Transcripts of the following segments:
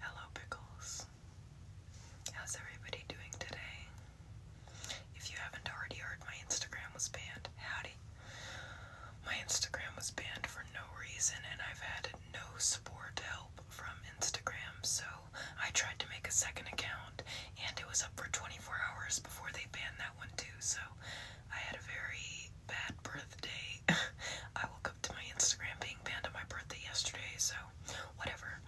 Hello, Pickles. How's everybody doing today? If you haven't already heard, my Instagram was banned. Howdy. My Instagram was banned for no reason, and I've had no support help from Instagram, so I tried to make a second account and it was up for 24 hours before they banned that one too. So I had a very bad birthday. I woke up to my Instagram being banned on my birthday yesterday. So whatever.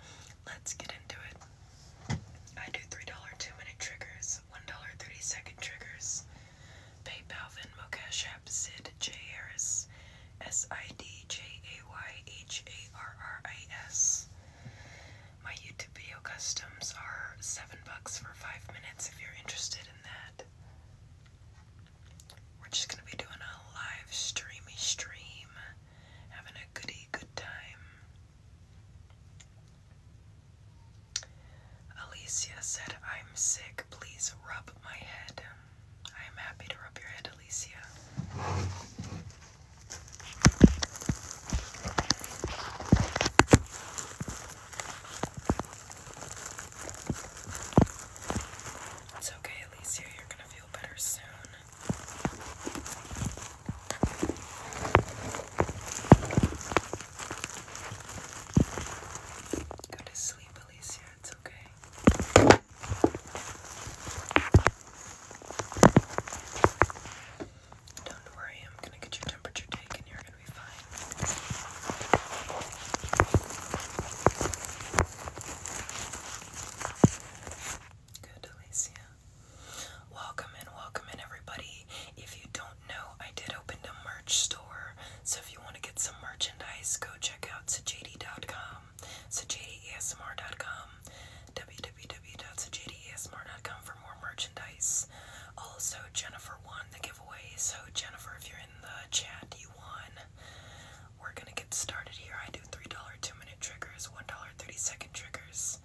Let's get into it. I do $3 2 minute triggers, $1 30 second triggers. PayPal, Venmo, Cash App, Sid, Sid S I D J A Y H A R R I S. My YouTube video customs are seven bucks for five minutes if you're interested in that. We're just gonna be doing a live streamy stream, having a goody good time. Alicia said, I'm sick, please rub my head. I am happy to rub your head, Alicia. It's okay, Alicia, you're gonna feel better soon. Go to sleep, Alicia, it's okay. Don't worry, I'm gonna get your temperature taken. You're gonna be fine. Good, Alicia. Welcome in, welcome in, everybody. If you don't know, I did open a merch store. So if you want to get some merchandise, go check out sajd.com. So jdsmr.com, www.sajdaasmr.com for more merchandise. Also, Jennifer won the giveaway. So, Jennifer, if you're in the chat, you won. We're gonna get started here. I do $3 two minute triggers, $1 30 second triggers.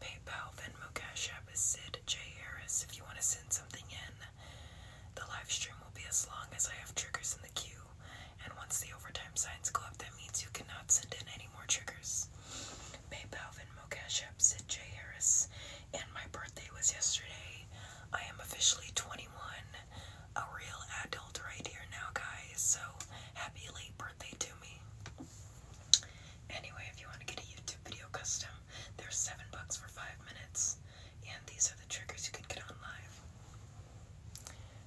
PayPal, Venmo, Cash App is Sid J. If you want to send something in, the live stream will be as long as I have triggers in the queue and once the overtime signs go up, that means you cannot send in any more triggers. PayPal, Venmo, Cash App, J. Harris, and my birthday was yesterday. I am officially 21, a real adult right here now, guys, so happy late birthday to me. Anyway, if you want to get a YouTube video custom, there's 7 bucks for 5 minutes, and these are the triggers you can get on live.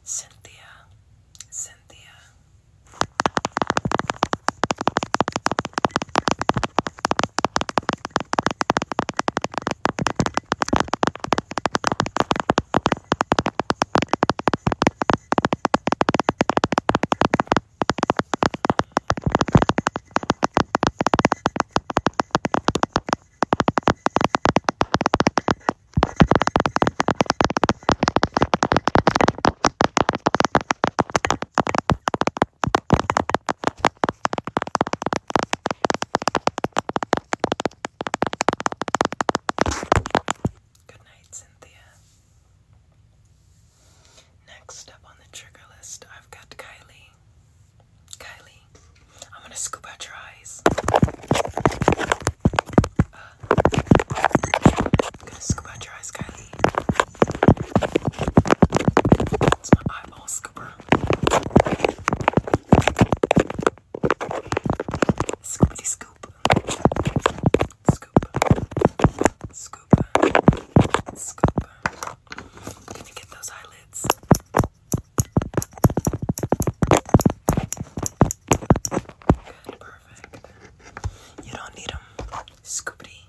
Cynthia, Cynthia. Good night, Cynthia. Next up on the trigger list, I've got Kylie. Kylie. I'm gonna scoop out your eyes. I'm uh, gonna scoop out your eyes, Kylie. It's my eyeball scooper. Scoopity scoop. Scoop. Scoop. Scoop. Can you get those eyelids? perfect. You don't need them. Scoopity.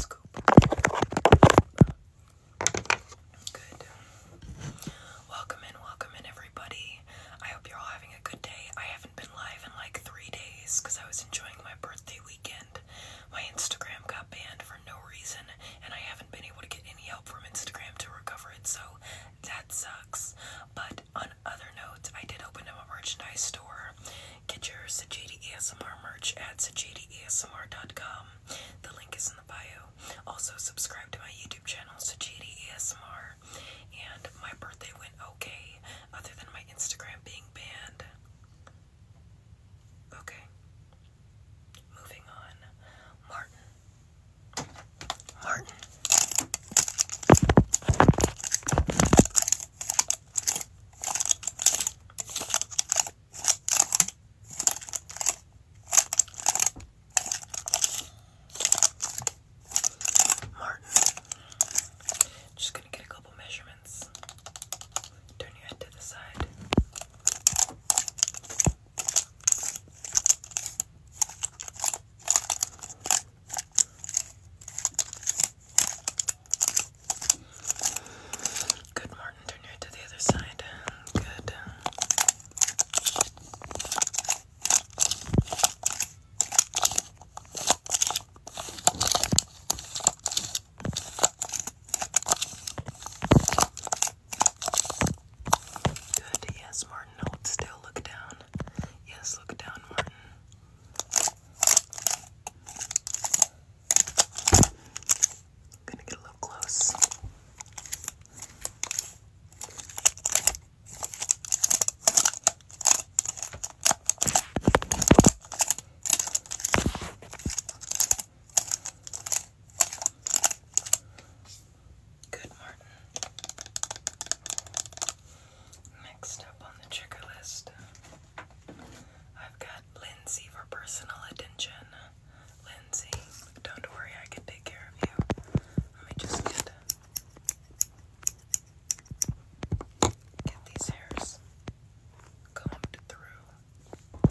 Scoop. Good. Welcome in, welcome in, everybody. I hope you're all having a good day. I haven't been live in like three days because I was enjoying my birthday weekend. My Instagram got banned for no reason, and I haven't been able to get any help from Instagram to recover it, so that sucks. But on other notes, I did open up a merchandise store. Get your Sajidi ASMR merch at sajidiasmr.com. The link is in the bio. Also, subscribe to my YouTube channel, Sajidi ASMR. And my birthday went okay, other than my Instagram being banned. Okay. Moving on, Martin. Martin. Martin. Just going to get a couple measurements. Turn your head to the side. Good, Martin. Turn your head to the other side. Good. Good, yes, Martin. Hold still. Look down. Yes, look down, Martin. Gonna get a little close. Good, Martin. Next up on the trigger list, I've got Lindsay for personal attention. Lindsay, don't worry, I can take care of you. Let me just get get these hairs combed through.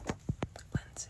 Lindsay.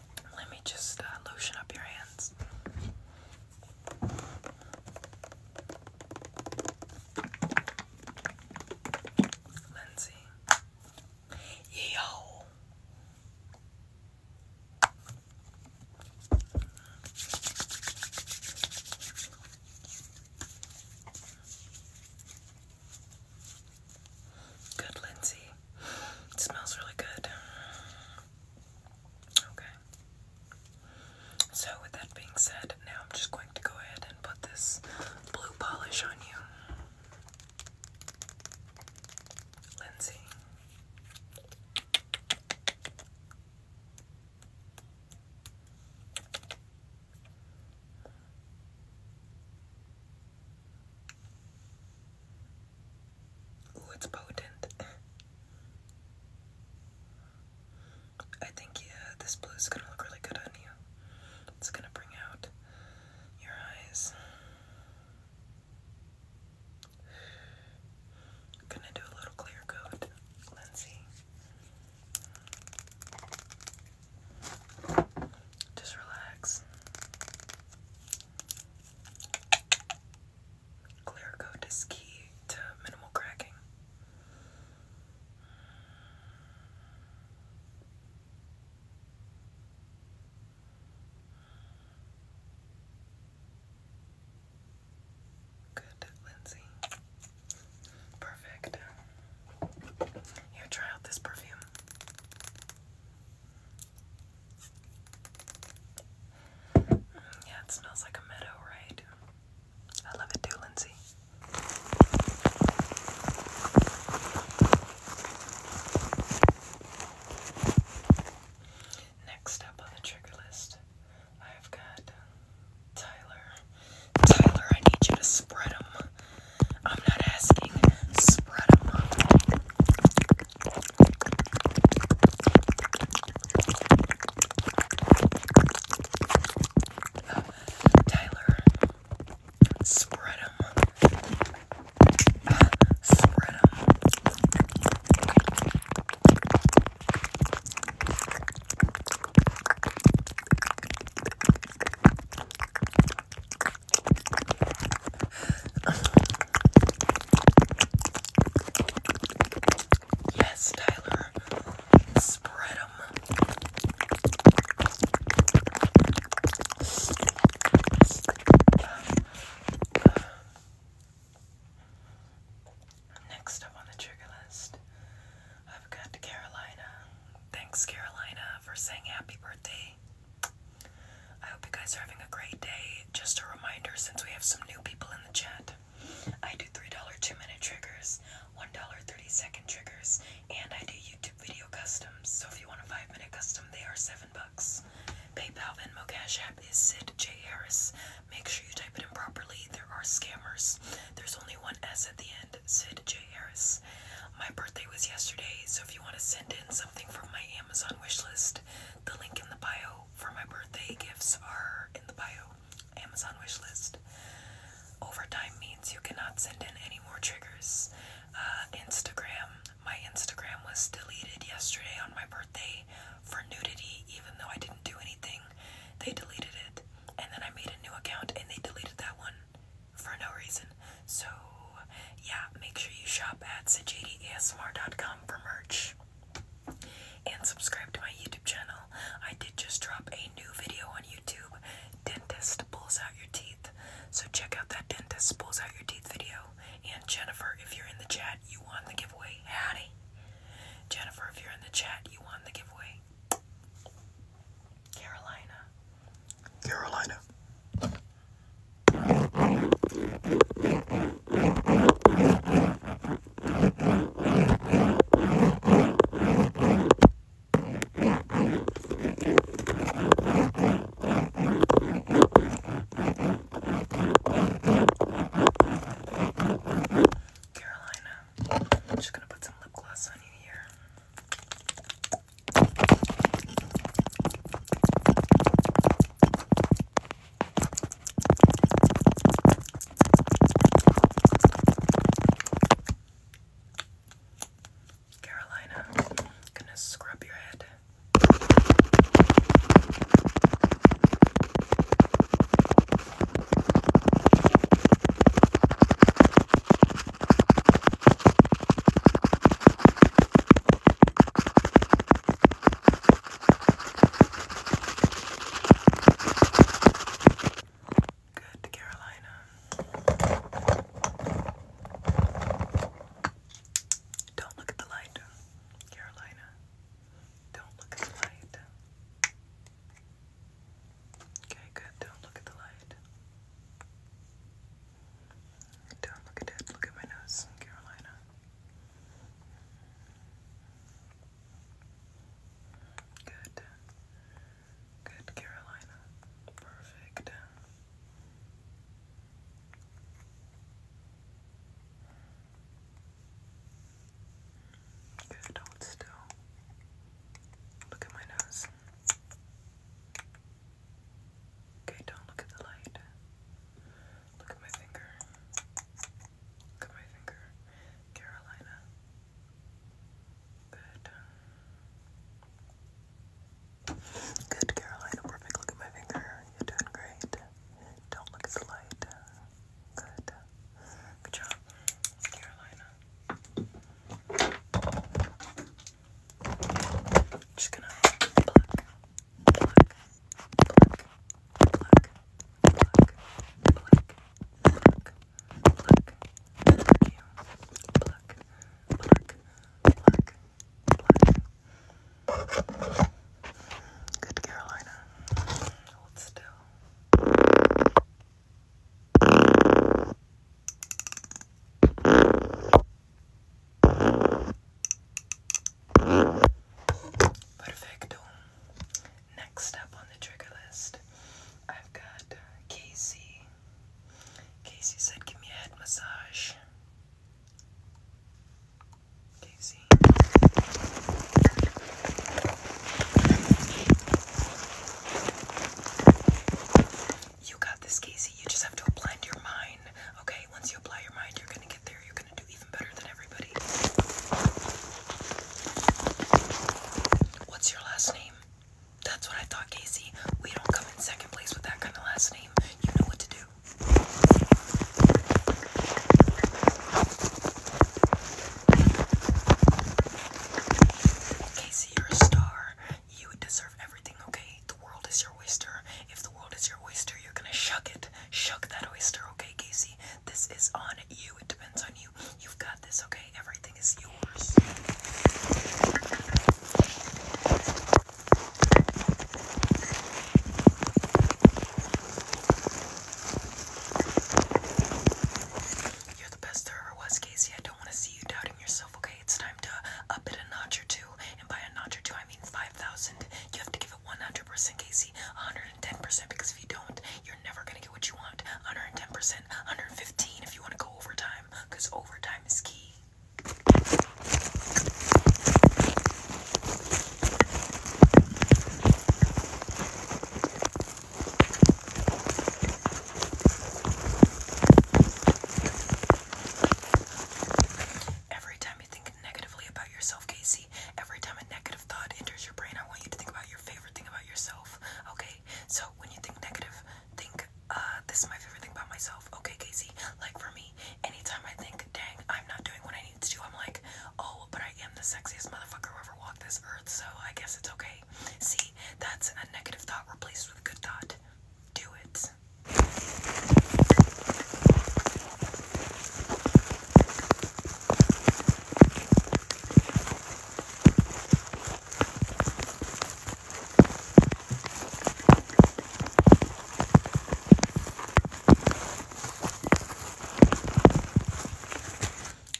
Let me just uh, lotion up your hands. Lindsay. Yo. Good, Lindsay. It smells really good. Okay. So, with that being said, now I'm just going to go ahead and put this blue polish on you. Lindsay. Ooh, it's potent. I think yeah, this blue is gonna look really good on you. It's gonna bring out your eyes. gonna do a little clear coat, Lindsay. Just relax. Clear coat is key to minimal cracking. Good, Lindsay. Perfect. Here, try out this perfume. Yeah, it smells like a meadow, right? I love it too, Lindsay. Next up on the trigger list, I've got Tyler. Tyler, I need you to spread them. I'm not asking, spread them. Tyler, spread them. Ah, spread them. Yes, Tyler. Spread them. Next up on the trigger list, I've got Carolina. Thanks, Carolina, for saying happy birthday. I hope you guys are having a great day. Just a reminder since we have some new people in the chat, I do $3 2 minute triggers, $1 30 second triggers, and I do YouTube video customs. So if you want a 5 minute custom, they are 7 bucks. PayPal, Venmo, Cash App is Sid J. Harris. Make sure you type it in properly. There are scammers. There's only one S at the end, Sid J. Harris. My birthday was yesterday, so if you want to send in something from my Amazon wish list, the link in the bio for my birthday gifts are in the bio. Amazon wishlist. Overtime means you cannot send in any more triggers. Uh, Instagram. My Instagram was deleted yesterday on my birthday for nudity, even though I didn't do anything. They deleted it. And then I made a new account and they deleted that one for no reason. So yeah, make sure you shop at sajadiasmr.com for merch and subscribe to my YouTube channel. I did just drop a new video on YouTube Dentist Pulls Out Your Teeth. So check out that Dentist Pulls Out Your Teeth video. And Jennifer, if you're in the chat, you won the giveaway. Hattie, Jennifer, if you're in the chat, you won the giveaway. Carolina. Carolina. Carolina, I'm just gonna put some lip gloss on you here. Carolina, gonna scrub your head. Good, Carolina. Don't look at the light, Carolina. Don't look at the light. Okay, good. Don't look at the light. Don't look at it. Look at my nose, Carolina. Good. Good, Carolina. Perfect. Good, hold still. Look at my nose. Okay, don't look at the light. Look at my finger. Look at my finger. Carolina. Good. Good, Carolina. Perfect. Look at my finger. You're doing great. Don't look at the light. Good. Good job, Carolina. just gonna pluck, pluck, pluck, pluck, pluck, pluck, pluck, pluck you, pluck, pluck, pluck, pluck. Good Carolina. Hold still. Perfecto. Next up on the trigger list, I've got uh, Casey. Casey said, Give me a head massage. Casey. You got this, Casey. You just have to apply your mind. Okay, once you apply your mind, you're gonna get there. You What's your last name? That's what I thought, Casey. We don't come in second place with that kind of last name. You know what to do. Casey, you're a star. You deserve everything, okay? The world is your oyster. If the world is your oyster, you're gonna shuck it. Shuck that oyster, okay, Casey? This is on you. It depends on you. You've got this, okay? Everything is yours. You're the best there was, Casey. I don't want to see you doubting yourself, okay? It's time to up it a notch or two. And by a notch or two, I mean 5,000. You have to give it 100%, Casey. 110%, because if you don't, you're never going to get what you want. 110%, 115 if you want to go overtime, because overtime is key. Every time you think negatively about yourself, Casey, every time a negative thought enters your brain, I want you to think about your favorite thing about yourself. Okay? So when you think negative, think, uh, this is my favorite thing about myself. Okay, Casey? Like for me, anytime I think, dang, I'm not doing what I need to do, I'm like, oh, but I am the sexiest motherfucker who ever walked this earth, so I guess it's okay. See, that's a negative thought replaced with a good thought. Do it this.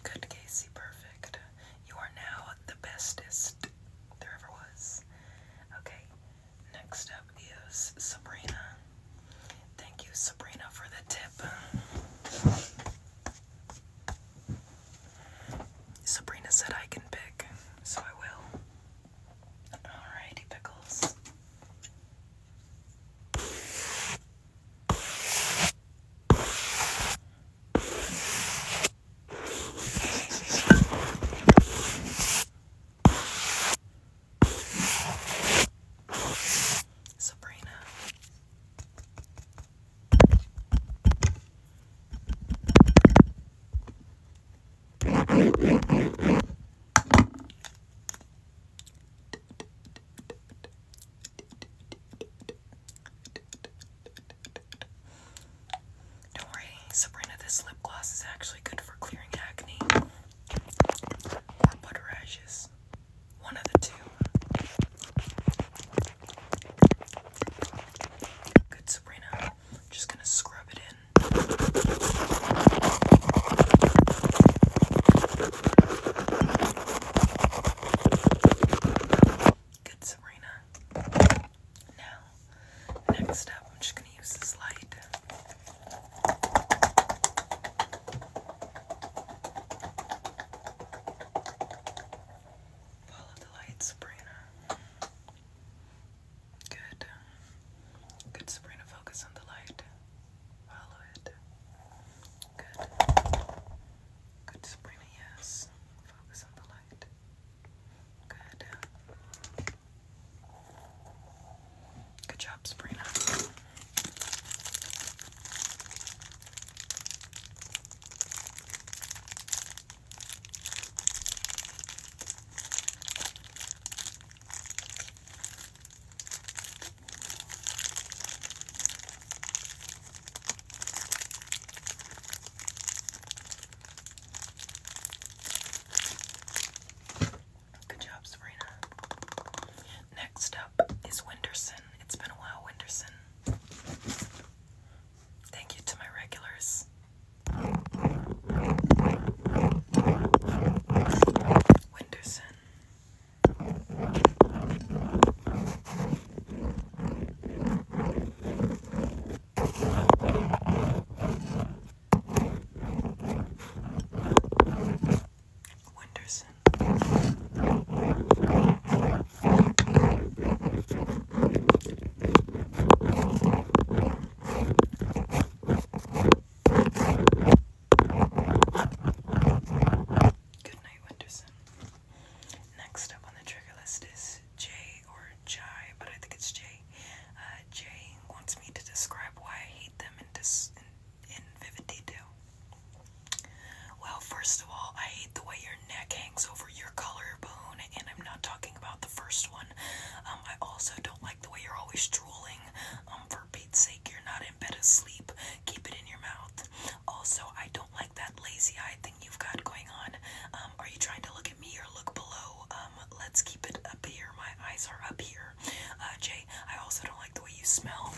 Good, Casey, perfect. You are now the bestest there ever was. Okay, Next up is Sabrina. Thank you, Sabrina, for the tip. Sabrina said I can pick, so I will. Alrighty, pickles. Sabrina. Don't worry, Sabrina, this lip gloss is actually good for clearing acne or butter One of the two. Good, Sabrina. I'm just gonna scrub it in. Good, Sabrina. Now, next up, I'm just gonna use this light. Follow the light, Sabrina. Good. Good, Sabrina. Focus on the light. Follow it. Good. Good, Sabrina. Yes. Focus on the light. Good. Good job, Sabrina. Good job, Sabrina. Next up is Winderson. It's been a while, Winderson. Thank you to my regulars. Winderson. Wenderson. Good night, Wenderson. Next up on the trigger list is Jay or Jai, but I think it's Jay. Uh, wants me to describe why hate them in, dis in, in vivid detail. Well, first of all, I hate the way your neck hangs over your collar bone, and I'm not talking about the first one. Um, I also don't like the way you're always drooling. Um, for Pete's sake, you're not in bed asleep. Keep it in your mouth. Also, I don't like that lazy eye thing you've got going on. Um, are you trying to look at me or look below? Uh, um, let's keep it up here. My eyes are up here. Uh, Jay, I also don't like the way you smell.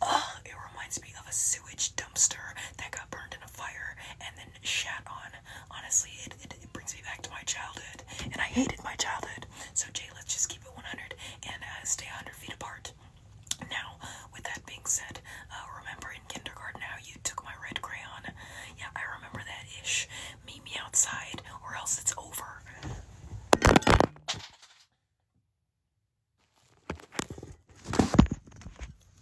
Uh, it reminds me of a sewage dumpster that got burned in a fire and then shat on. Honestly, it, it, brings me back to my childhood, and I hated my childhood. So, Jay, let's just keep it 100 and uh, stay 100 feet apart. Now, with that being said, uh, remember in kindergarten how you took my red crayon? Yeah, I remember that ish. Meet me outside, or else it's over.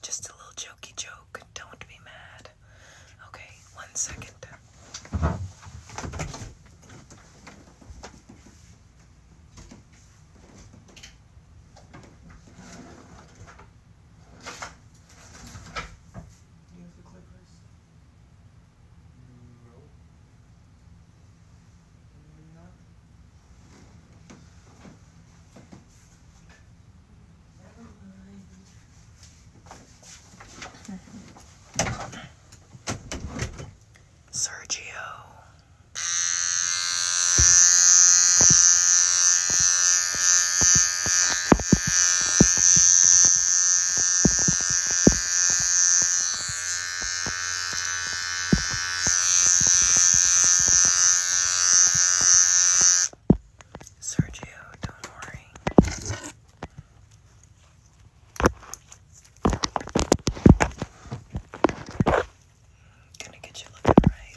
Just a little jokey joke. Don't be mad. Okay, one second. No. Not. Never mind. Sergio. Sergio, don't worry. Gonna get you looking right.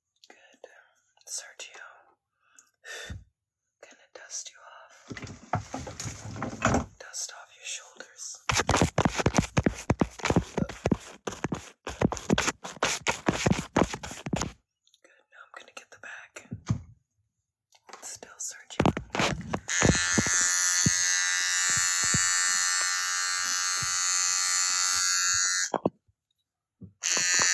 Good. Sergio, gonna dust you off. Dust off your shoulders. Good. Now I'm gonna get the back. Still Sergio. Good. Good,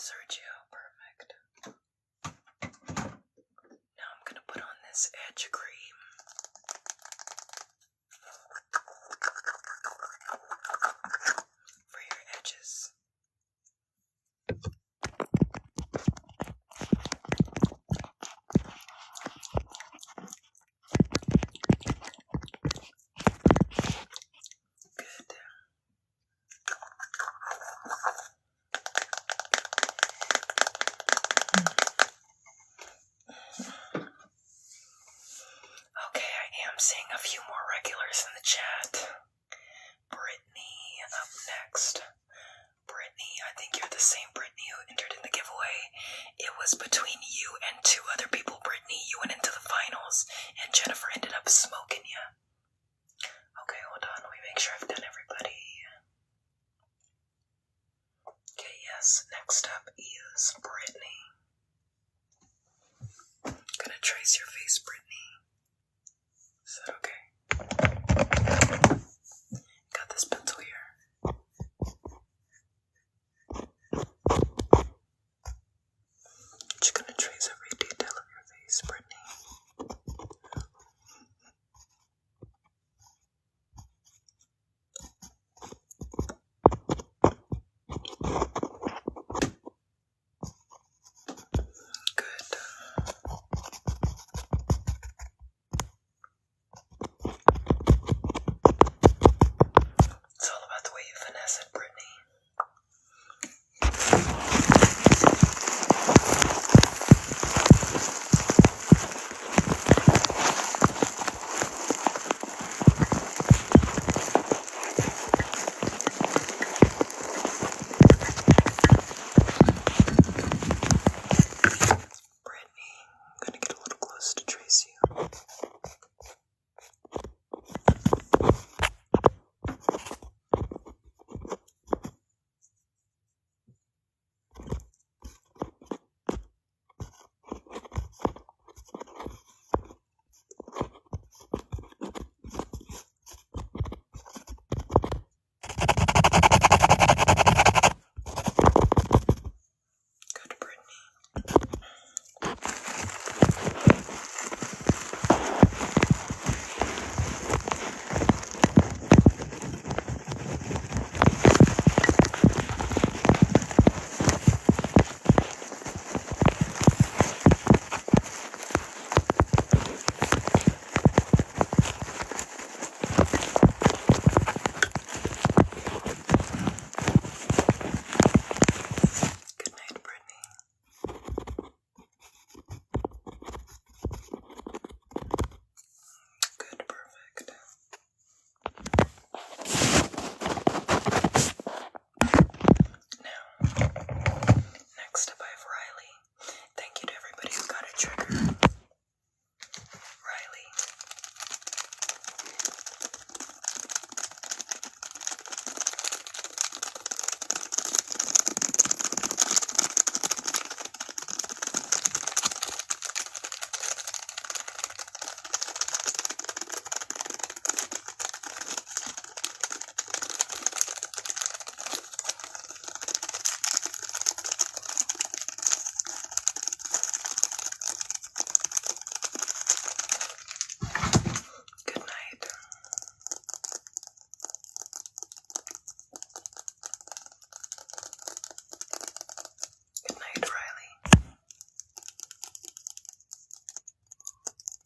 Sergio. Perfect. Now I'm going to put on this edge cream for your edges. Good. Okay, I am seeing a few more regulars in the chat. Brittany up next. Brittany, I think you're the same Brittany who entered in the giveaway. It was between you and two other people, Brittany. You went into the finals, and Jennifer ended up smoking you. Okay, hold on. We make sure I've done everybody. Okay, yes, next up is Brittany. Gonna trace your face, Brittany. Is that okay? Got this pencil here. Just gonna trace every detail of your face, Brittany. Good. It's all about the way you finesse it, Brittany. Brittany, I'm gonna get a little close to Tracy. Good, Brittany. Good night, Brittany. Good, perfect. Now, next up I have Riley. Thank you to everybody who got a trigger. Riley. Good night. Good night, Riley.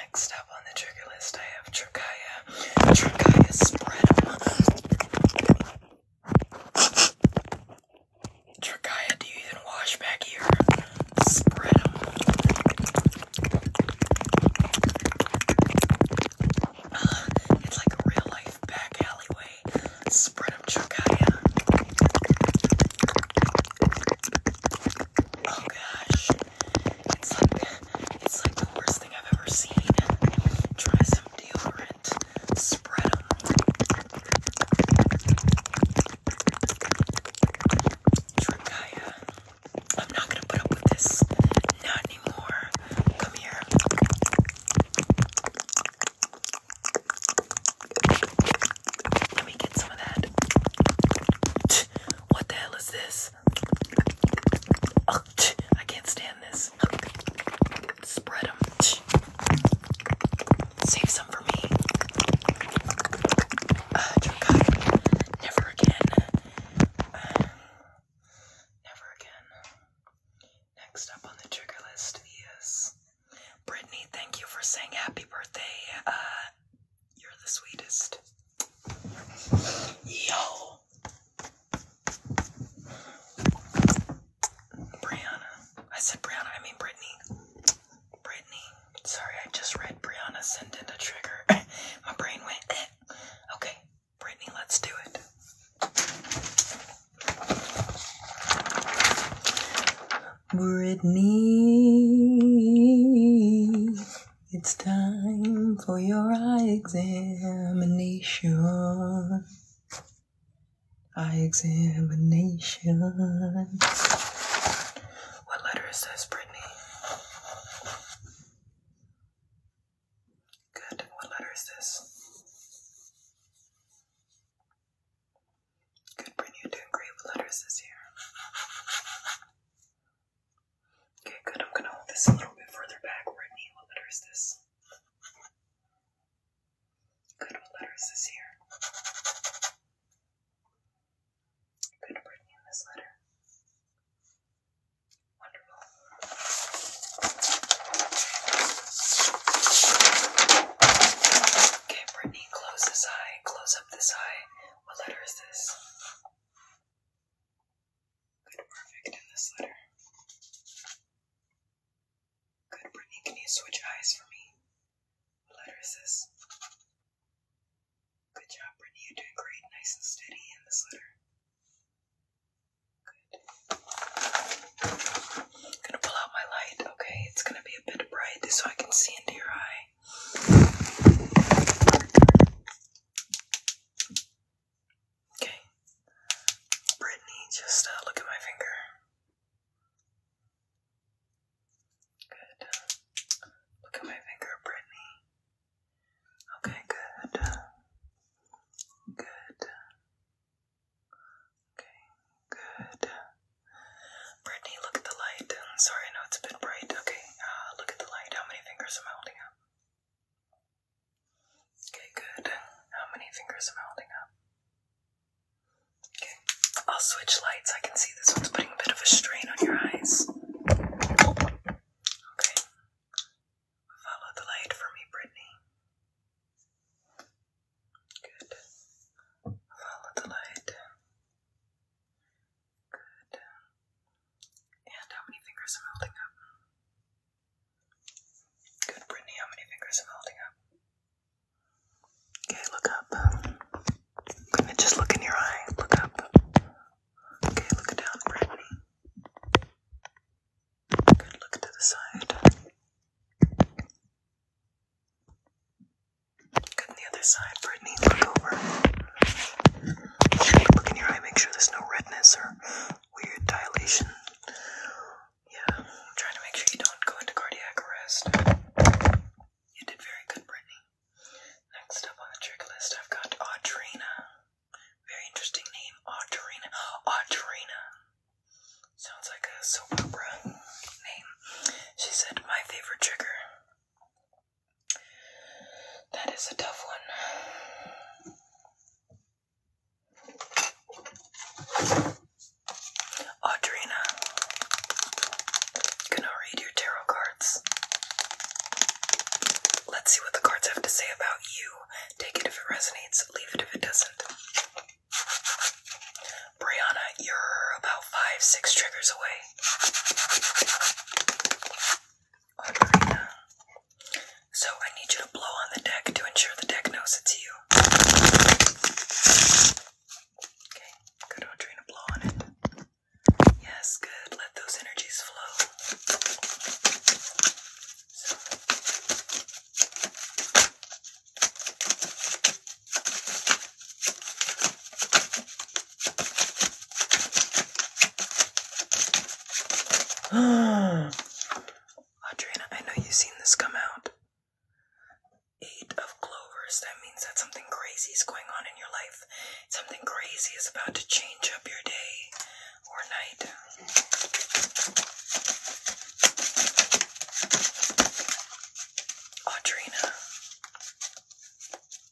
Next up on the trigger list, I have Trikaya. Trikaya spread. Trikaya, do you even wash back here? Spread them. Uh, it's like a real life back alleyway. Spread them, Oh gosh. It's like it's like the worst thing I've ever seen. Try some deodorant. Spread them. Trikaya. I'm not gonna put up with this. Not anymore. Come here. Let me get some of that. What the hell is this? I can't stand this. Spread Save some for me. Ah, never again. never again. Next up on the trigger list is Brittany. Thank you for saying happy birthday. Uh, you're the sweetest. Yo. Brianna. I said Brianna, I mean Brittany. Brittany. Sorry, I just read Brianna send in a trigger. My brain went, eh. Okay, Brittany, let's do it. Brittany, it's time for your eye examination. Eye examination. What letter is this, Brittany? Good. What letter is this? Good, Brittany, you great with letters this year. Okay, good. I'm gonna hold this a little bit further back. Brittany, what letter is this? Good, what letter is this here? Good, Brittany, in letter. Wonderful. Okay, Brittany, close this eye, close up this eye, what letter is this? Good, perfect in this letter. Good, Brittany, can you switch eyes for me? What letter is this? Good job, Brittany, you're doing great, nice and steady in this letter. Good. gonna pull out my light, okay? It's gonna be a bit bright so I can see into your eye. Okay. Brittany, just uh, look at my finger. Good. Look at my finger, Brittany. Okay, good. Good. Okay, good. Brittany, look at the light. I'm um, sorry, I know it's a bit bright. Okay, uh, look at the light. How many fingers am I holding up? Okay, good. How many fingers am I holding up? Okay, I'll switch lights. I can see this one's putting a bit of a strain on your eyes. Okay, follow the light for me, Brittany. Good. Follow the light. Good. And how many fingers I'm holding up? Good, Brittany, how many fingers I'm holding up? Okay, look up. Just look in your eye. Look up. Okay, look down, Brittany. Good, look to the side. Come the other side, Brittany. Look over. Look in your eye. Make sure there's no redness or weird dilation. Yeah, trying to make sure you don't go into cardiac arrest. You did very good, Brittany. Next up on the trigger list, I've got Audrina. Very interesting name, Audrina. Audrina. Sounds like a soap opera name. She said, My favorite trigger that is a tough one. Audrina, gonna read your tarot cards. Let's see what the cards have to say about you. Take it if it resonates, leave it if it doesn't. Brianna, you're about five, six triggers away. So I need you to blow on the deck to ensure the deck knows it's you. Okay, good Audrina, blow on it. Yes, good. Let those energies flow. Audrina, I know you've seen this come out. Eight of Clovers. That means that something crazy is going on in your life. Something crazy is about to change up your day or night. Audrina, Audrina,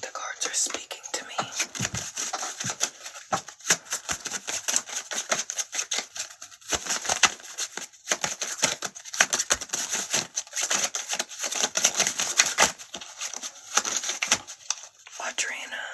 the cards are speaking to me. Audrina.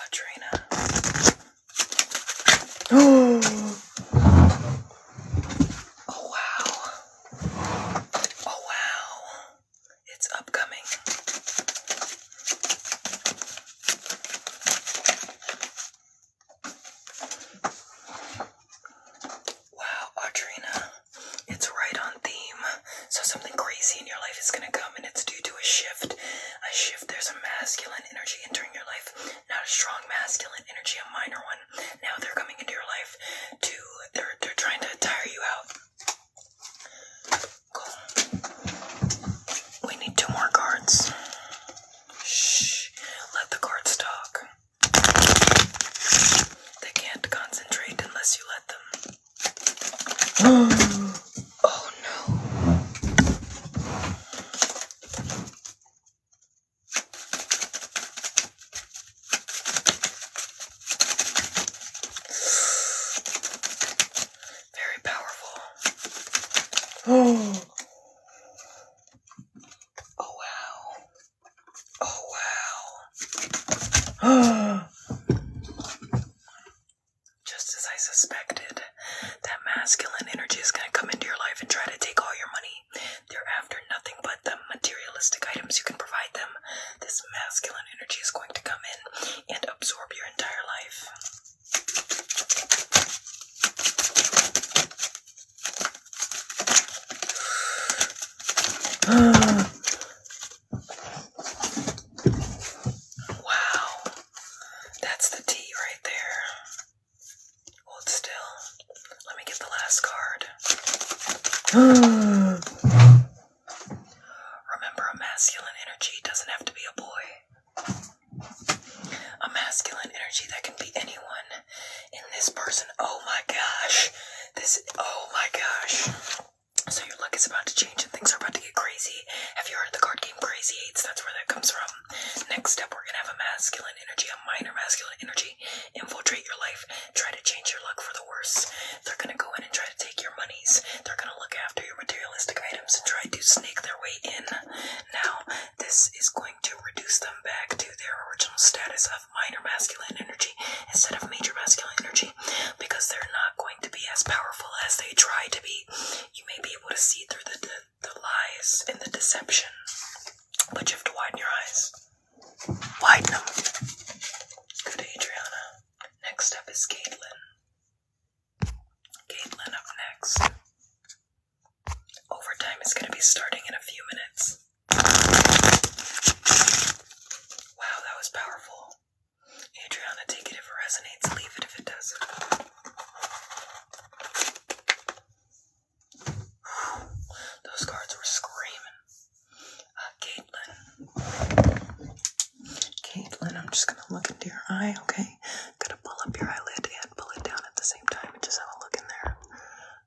Audrina. Oh. oh wow. Oh wow. It's upcoming. Wow, Audrina. It's right on theme. So something crazy in your life is going to come and it's due to a shift. A shift, there's a masculine energy entering your life, not a strong masculine energy, a minor one. Now they're coming into your life to, they're, they're trying to tire you out. We need two more cards. Shh. Let the cards talk. They can't concentrate unless you let them oh no. Very powerful. Oh. Oh wow. Oh wow. Just as I suspected, that masculine energy is going to come into your life and try to take all your money. They're after nothing but the materialistic items you can provide them. This masculine energy is going to come in and absorb your entire life. Wow, that's the T right there. Hold still. Let me get the last card. Remember, a masculine energy doesn't have to be a boy. A masculine energy that can be anyone in this person. Oh my gosh. This, oh my gosh. So your luck is about to change and things are about to get crazy. Have you heard the card game Crazy Eights? That's where that comes from. Next step, we're gonna have a masculine energy, a minor masculine energy, infiltrate your life, try to change your luck for the worse. They're gonna go in and try to take your monies. They're gonna look after your materialistic items and try to snake their way in. Now, this is going to reduce them back to their original status of minor masculine energy instead of major masculine energy because they're not going to be as powerful as they try to be. You may be able to see through the, the lies and the deception, but you have to widen your eyes. Widen them. Good, Adriana. Next up is Caitlin. Caitlin up next. Overtime is going to be starting in a few minutes. Wow, that was powerful. Adriana, take it if it resonates, leave it if it doesn't. Those cards were screaming. Uh, Caitlin. I'm just gonna look into your eye, okay? Gotta pull up your eyelid and pull it down at the same time just have a look in there.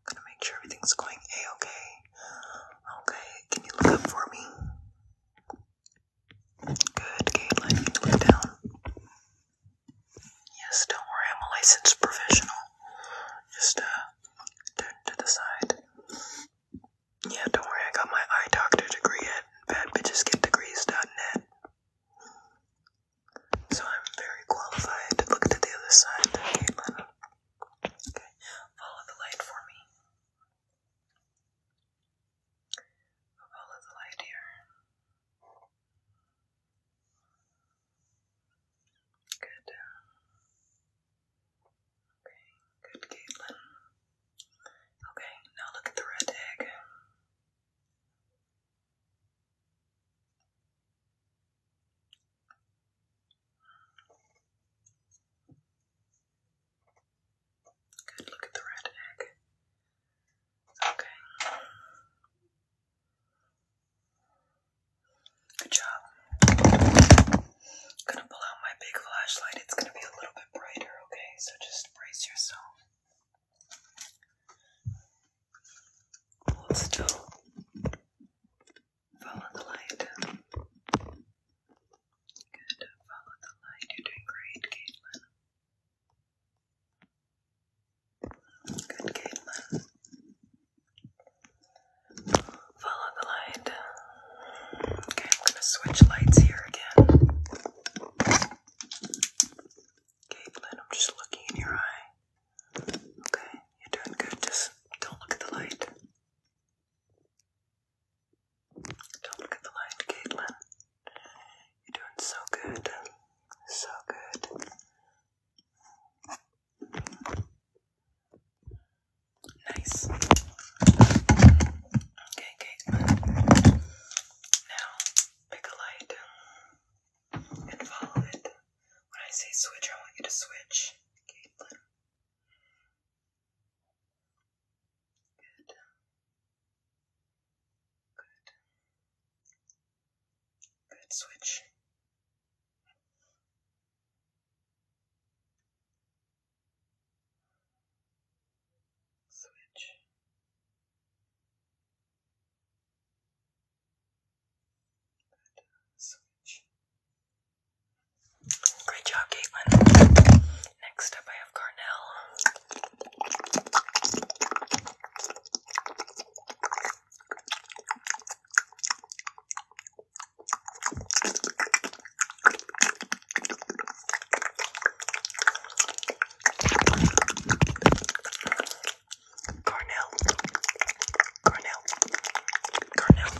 Gonna make sure everything's going A okay. Okay, can you look up for me? Good, Caitlin, you down. Yes, don't worry, I'm a licensed professional. Just, uh, turn to the side. Yeah, don't worry, I got my eye doctor degree at badbitchesgetdegrees.net. So I'm very qualified. Look to the other side, Caitlin. Okay, follow the light for me. Follow the light here. Good. Uh, okay, good, Caitlin. Okay, now look at the red egg. Good, look at the red egg. Okay. Good job. gonna pull out my big flashlight. It's gonna be a little bit brighter, okay? So just brace yourself. still. Follow the light. Good. Follow the light. You're doing great, Caitlin. Good, Caitlin. Follow the light. Okay, I'm going to switch lights here again. Caitlin, I'm just looking in your eye. Okay, you're doing good. Just don't look at the light. Don't look at the light, Caitlin. You're doing so good. So good. Nice. Okay, Caitlin. Now, pick a light and follow it. When I say switch, I want you to switch, Caitlin. Good. Good. Good switch. Switch. Switch. Great job, Caitlin. Next up, I have Carnell. Carnell. Carnell. Carnell.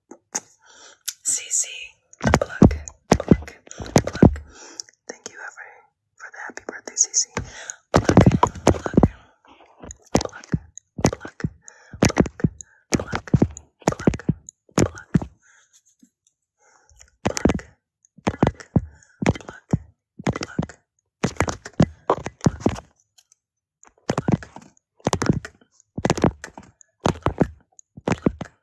CC, pluck, pluck, pluck. Thank you, Avery, for the happy birthday, CC. Pluck, pluck, pluck, pluck, pluck, pluck, pluck, pluck. Pluck, pluck, pluck, pluck, pluck, pluck. Pluck, pluck, pluck, pluck, pluck,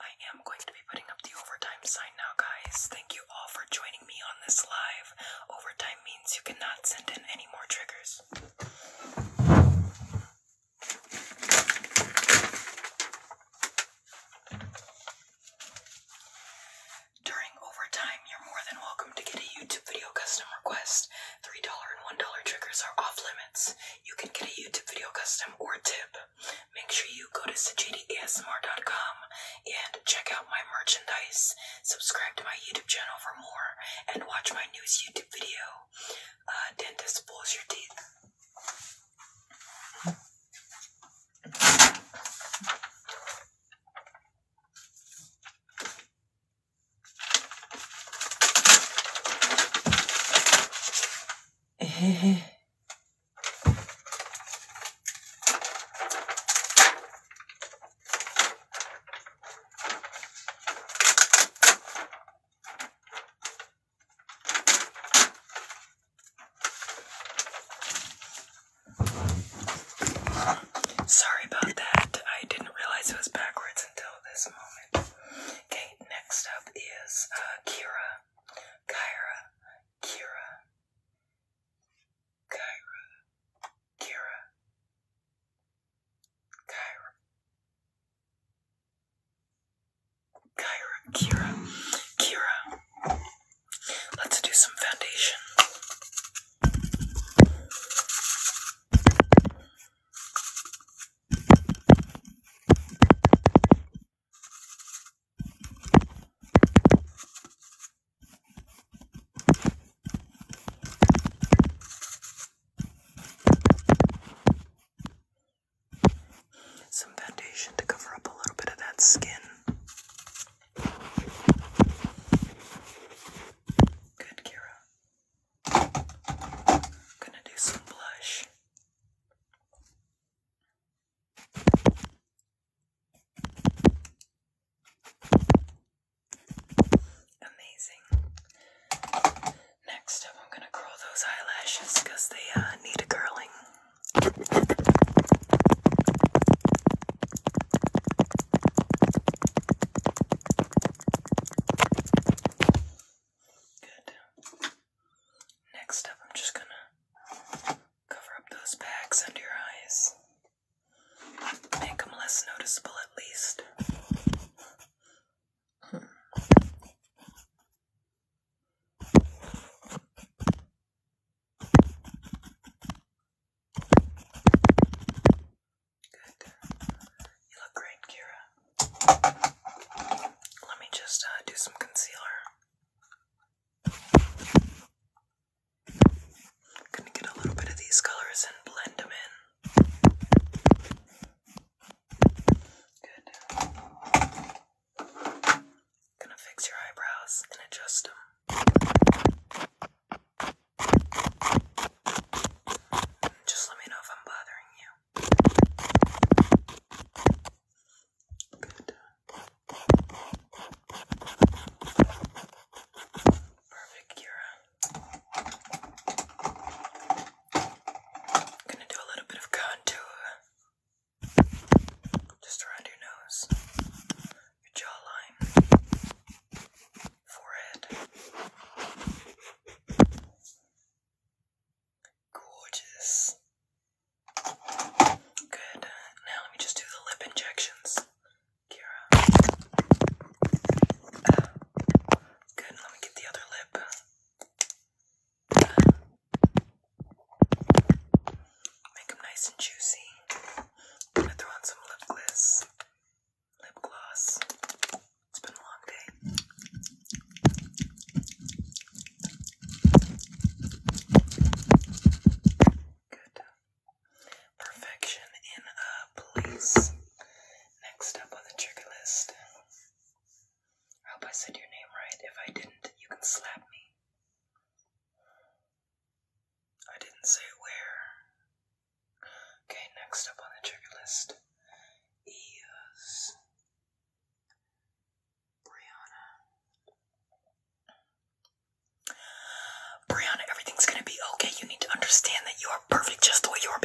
I am going to be putting up the overtime sign now, guys. Thank you all for joining me on this live. Overtime means you cannot send in any more triggers. During overtime, you're more than welcome to get a YouTube video custom request. $3 and $1 triggers are off limits you can get a YouTube video custom or tip. Make sure you go to sajidasmr.com and check out my merchandise. Subscribe to my YouTube channel for more and watch my newest YouTube video. Uh, dentist pulls your teeth. Sorry about that. I didn't realize it was backwards. Okay, next up is uh, Kira, Kyra, Kira, Kyra, Kira, Kyra, Kira, Kira. Let's do some foundation. Some foundation to cover up a little bit of that skin. Good, Kira. gonna do some blush. Amazing. Next up, I'm going to curl those eyelashes because they uh, need a curling. Good. Next up, I'm just gonna cover up those bags under your eyes. Make them less noticeable at least. Hmm. Good. You look great, Kira. Let me just uh, do some concealer. Gonna get a little bit of these colors and blend them in. Good. Gonna fix your eyebrows and adjust them. Just let me know if I'm bothering you. Perfect, gonna do a little bit of contour just around your nose, your jawline, forehead. Gorgeous. Good. Now let me just do the lip injections. Kira. Oh. good. Let me get the other lip. Make them nice and juicy. gonna throw on some lip gliss, lip gloss. It's been a long day. Good. Perfection in a place. Next up on the trigger list. hope I said your name right. If I didn't, you can slap me. I didn't say where. Okay, next up on the trigger list is Brianna. Brianna, everything's gonna be okay. You need to understand that you are perfect just the way you are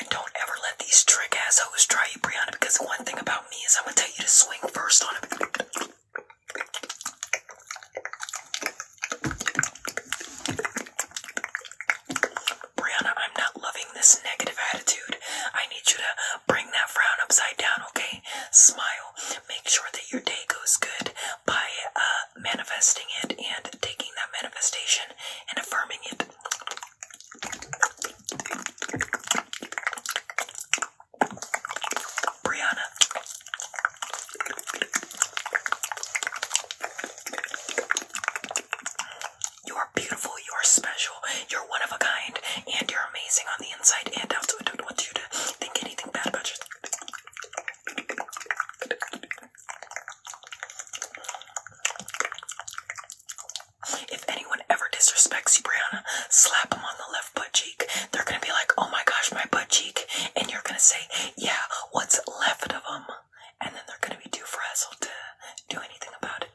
And don't ever let these trick ass try you, Brianna, because one thing about me is I'm gonna tell you to swing first on it. Brianna, I'm not loving this negative attitude. I need you to bring that frown upside down, okay? Smile. Make sure that your day goes good by uh, manifesting it and taking that manifestation and affirming it. Brianna, you are beautiful, you are special, you're one of a kind, and you're amazing on the inside and out, so I don't want you to think anything bad about you. If anyone ever disrespects you, Brianna, slap them on the left butt cheek. They're gonna be like, oh my gosh, my butt cheek. And you're gonna say, yeah, what's left of them, and then they're going to be too frazzled to do anything about it.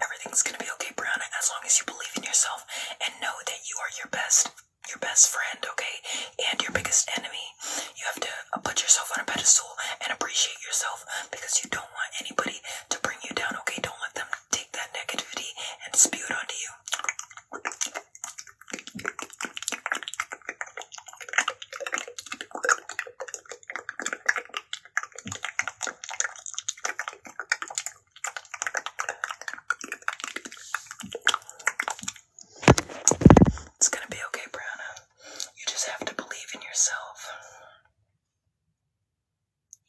Everything's gonna be okay, Brianna, as long as you believe in yourself and know that you are your best your best friend, okay? And your biggest enemy. You have to uh, put yourself on a pedestal and appreciate yourself because you don't want anybody to bring you down, okay? Don't let them take that negativity and spew it onto you. It's gonna be okay, Brianna. You just have to believe in yourself.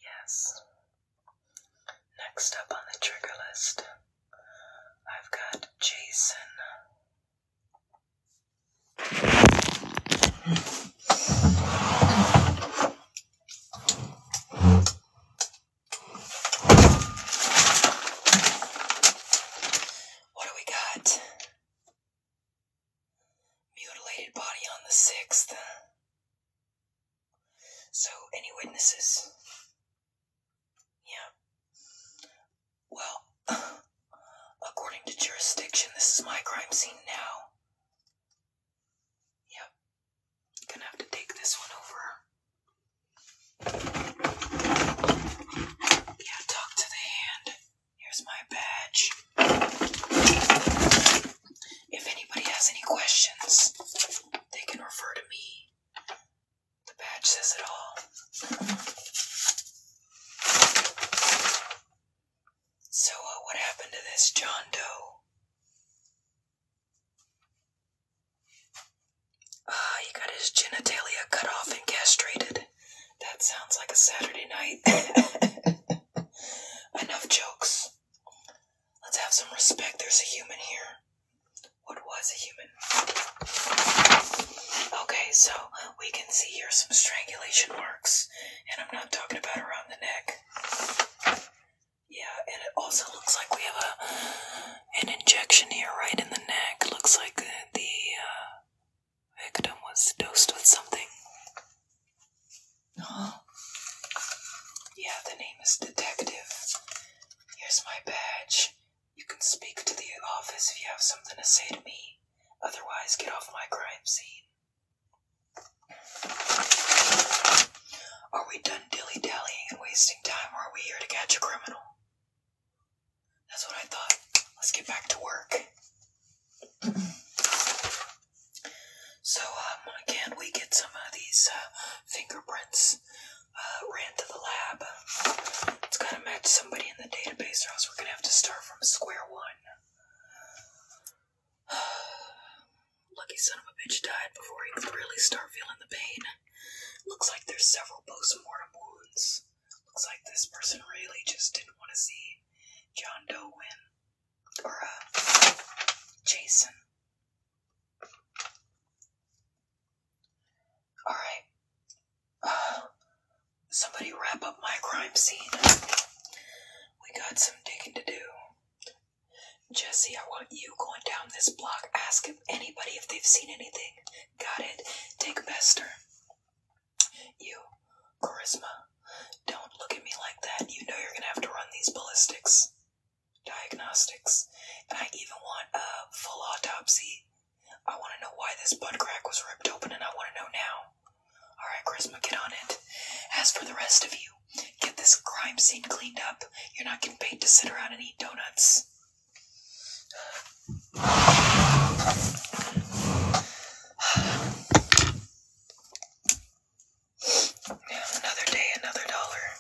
Yes. Next up on the trigger list, I've got Jason. What do we got? Mutilated body on the 6th. So, any witnesses? Yeah. Well, according to jurisdiction, this is my crime scene now. Yep. Gonna have to take this one over. Yeah, talk to the hand. Here's my badge. If anybody has any questions, they can refer to me. The badge says it all. So, uh, what happened to this John Doe? Ah, he got his genitalia cut off and castrated. That sounds like a Saturday night. Enough jokes. Let's have some respect. There's a human here. What was a human? Okay, so we can see here some strangulation marks, and I'm not talking about around the neck. Yeah, and it also looks like we have a an injection here right in the neck. Looks like the uh, victim was dosed with something. Huh? Yeah, the name is Detective. Here's my badge. You can speak to the office if you have something to say to me. Otherwise, get off my crime scene. Are we done dilly dallying and wasting time, or are we here to catch a criminal? That's what I thought. Let's get back to work. so, um, again, we get some of these uh, fingerprints. Uh, ran to the lab. It's gotta match somebody in the database, or else we're gonna have to start from square one. Lucky son of a bitch died before he could really start feeling the pain. Looks like there's several post wounds. Looks like this person really just didn't want to see John Doe win. Or, uh, Jason. Alright. somebody wrap up my crime scene. We got some digging to do. Jesse, I want you going down this block. Ask if anybody if they've seen anything. Got it. Take Bester. You, Charisma, don't look at me like that. You know you're gonna have to run these ballistics, diagnostics, and I even want a full autopsy. I want to know why this butt crack was ripped open, and I want to know now. Alright, Charisma, get on it. As for the rest of you, get this crime scene cleaned up. You're not getting paid to sit around and eat donuts. Another day, another dollar.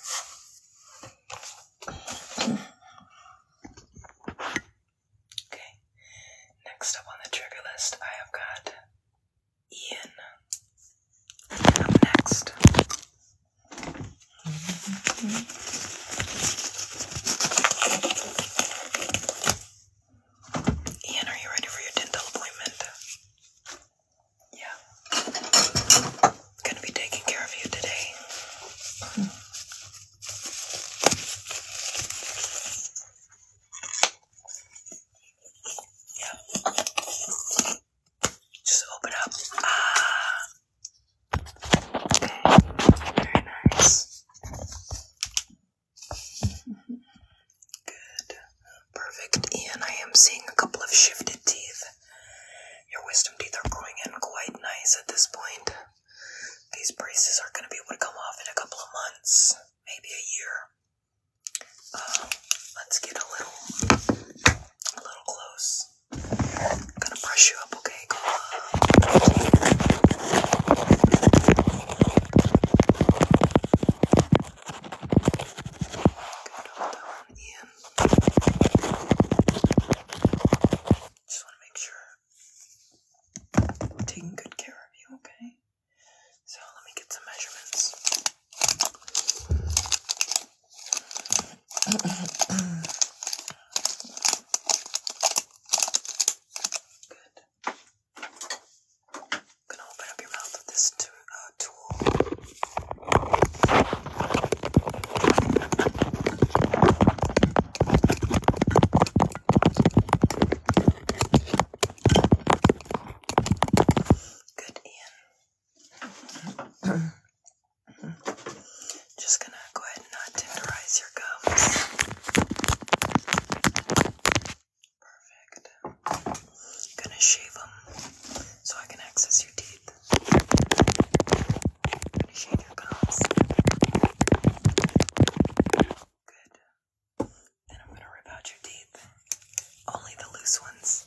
Okay, next up on the trigger list, I have got Ian. next. Ian, are you ready for your dental appointment? Yeah. Gonna be taking care of you today. Yeah. Just open up. Ah. Very nice. Good. Perfect. Ian, I am seeing a couple of shifted teeth. Your wisdom teeth are growing in quite nice at this point. These braces are going to be able to come off in a couple of months, maybe a year. Um, let's get a little, a little close. I'm gonna brush you up, okay? Go Just wanna make sure taking good care of you, okay? So let me get some measurements. Good. I'm gonna open up your mouth with this uh, tool. Good, Ian. Just gonna go ahead and not tenderize your gums. Perfect. Gonna shave them so I can access your teeth. Gonna shave your gums. Good. Then I'm gonna rip out your teeth. Only the loose ones.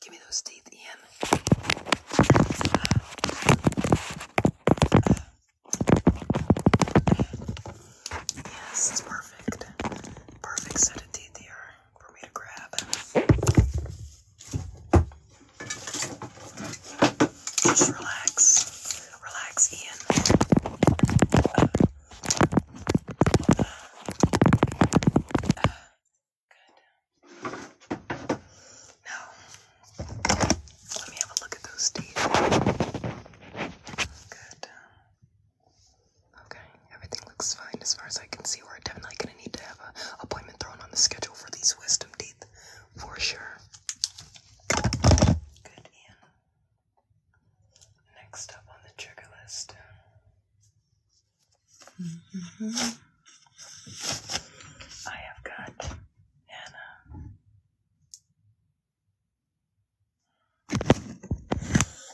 give me those teeth, in. Yes, it's perfect. Perfect set of teeth here for me to grab. Just relax. Relax, Ian. good. Now, let me have a look at those teeth. Good. Okay, everything looks fine as far as I can see. We're definitely gonna need to have an appointment thrown on the schedule for these wisdom teeth, for sure. Good, Ian. Next up on the trigger list. Mm -hmm. I have got Hannah.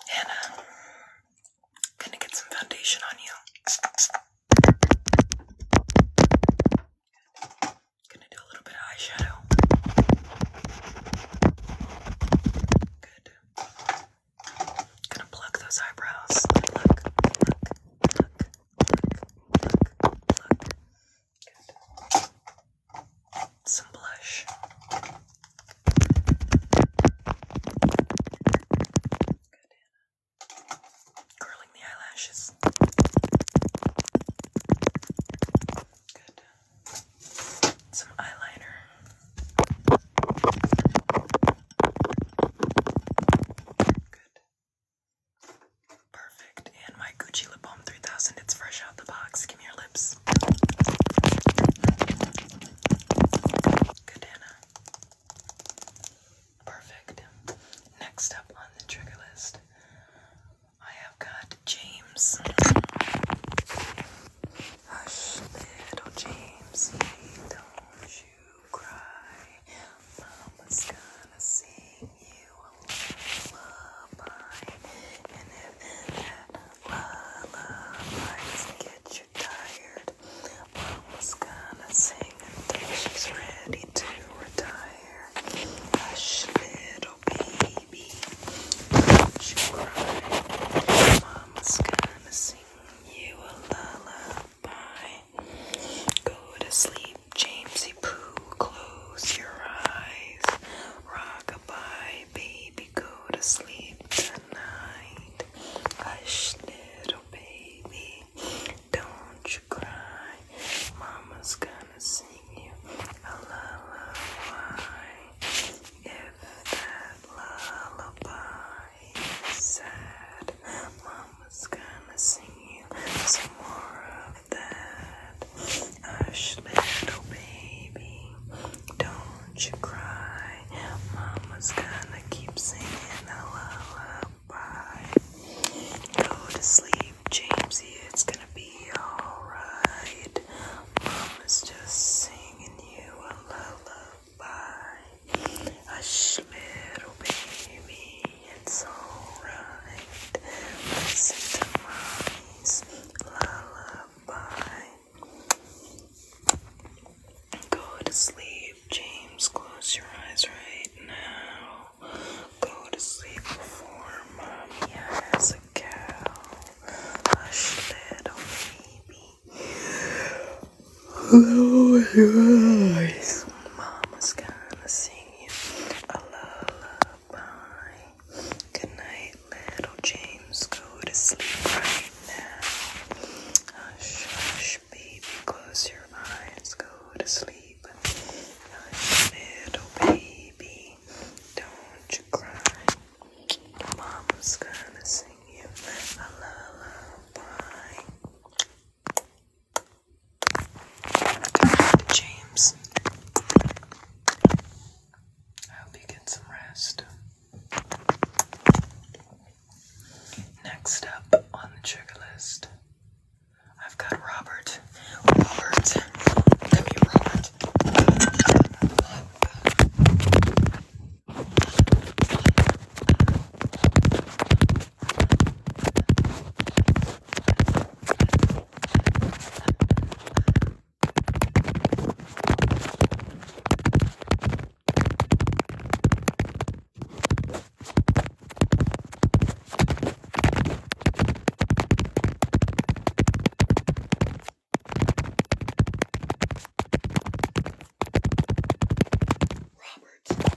Hannah, I'm gonna get some foundation on you. Gonna do a little bit of eyeshadow. Good. Gonna pluck those eyebrows. Pluck, pluck, pluck, some blush. Curling the eyelashes. Good. Some eyeliner. Good. Perfect. And my Gucci Lip Balm 3000, it's fresh out the box. Give me your lips. Good, Perfect. Next up on the trigger list, I have got James. Hush, little James, don't you cry. Mama's gonna sing you lullaby. And if that lullaby gets you tired, Mama's gonna sing until she's ready to retire. Hush, little baby, don't you cry. Mama's gonna sing you a lullaby. Go to sleep. Jamesy Poo, close your eyes. Rockabye, baby, go to sleep tonight. Hush, little baby, don't you cry. Mama's gonna sing you a lullaby. If that lullaby is sad, Mama's gonna sing you some more that. Hush, little baby, don't you cry. Mama's gonna keep singing a lullaby. Go to sleep, Jamesy, it's gonna be alright. Mama's just singing you a lullaby. Hush, little baby. It's alright. Listen to my lullaby. Go to sleep, James. Close your eyes right now. Go to sleep before mommy has a cow. Hush, little baby. Close your Mama's gonna sing me a lullaby. Good night, little James. Go to sleep right now. Hush, hush, baby. Close your eyes. Go to sleep. little baby. Don't you cry. Mama's gonna sing you a lullaby. James. I hope you get some rest. Next up on the trigger list, I've got Robert. Robert. Robert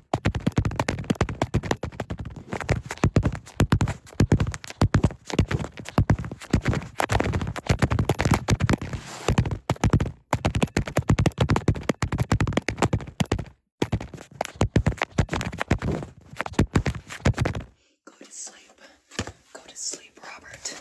Go to sleep. Go to sleep, Robert.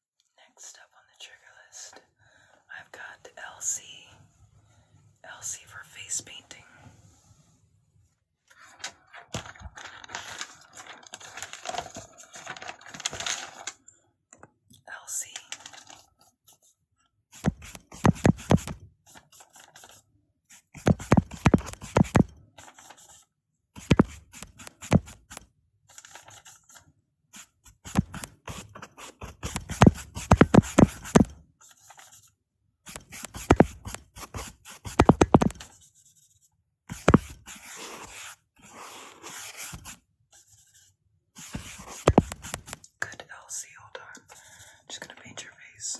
Next up on the trigger list, I've got Elsie. Elsie for face painting. Elsie. Good, Elsie. Hold on. I'm just gonna paint your face.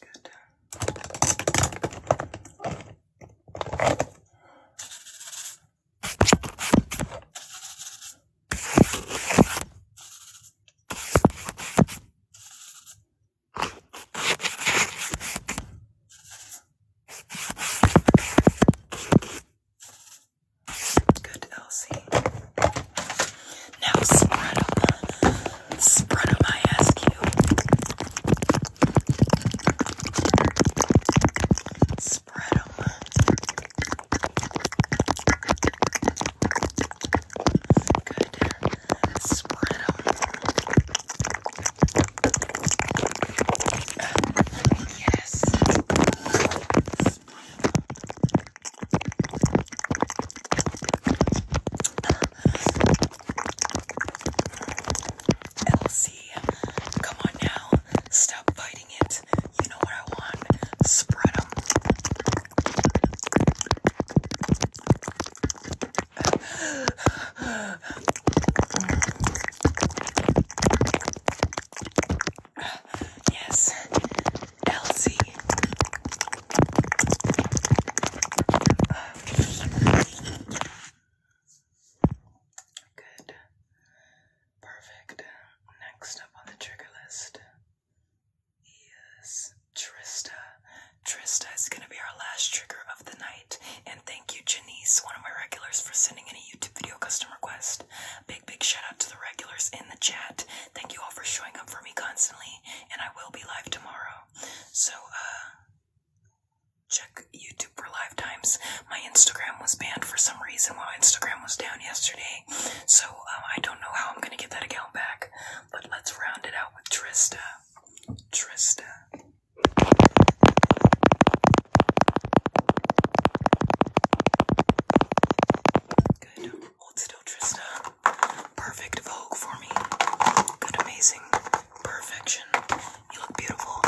Good. Good, Elsie. Now spread them, spread them. I ask you. Spread them. Good. Spread them. Yes. Elsie, come on now. Stop fighting it. You know what I want. Spread them. Yes, Elsie. Good. Perfect. Next up on the trigger list is Trista. Trista is going to be our last trigger of the night. And thank you, Janice, one of my regulars, for sending in a YouTube video customer request. Big, big shout out to the regulars in the chat. Thank you all for showing up for me constantly. And I will be live tomorrow. So, uh, check YouTube for lifetimes. My Instagram was banned for some reason while Instagram was down yesterday, so um, I don't know how I'm gonna get that account back. But let's round it out with Trista. Trista. Good. Hold still, Trista. Perfect Vogue for me. Good, amazing. Perfection. You look beautiful.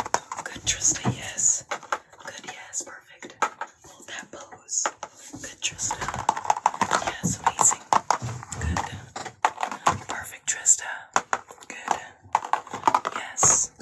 Good, Trista. Yes. Good, yes. Perfect. Hold that pose. Good, Trista. Uh, yes, amazing. Good. Uh, perfect, Trista. Uh, good. Yes.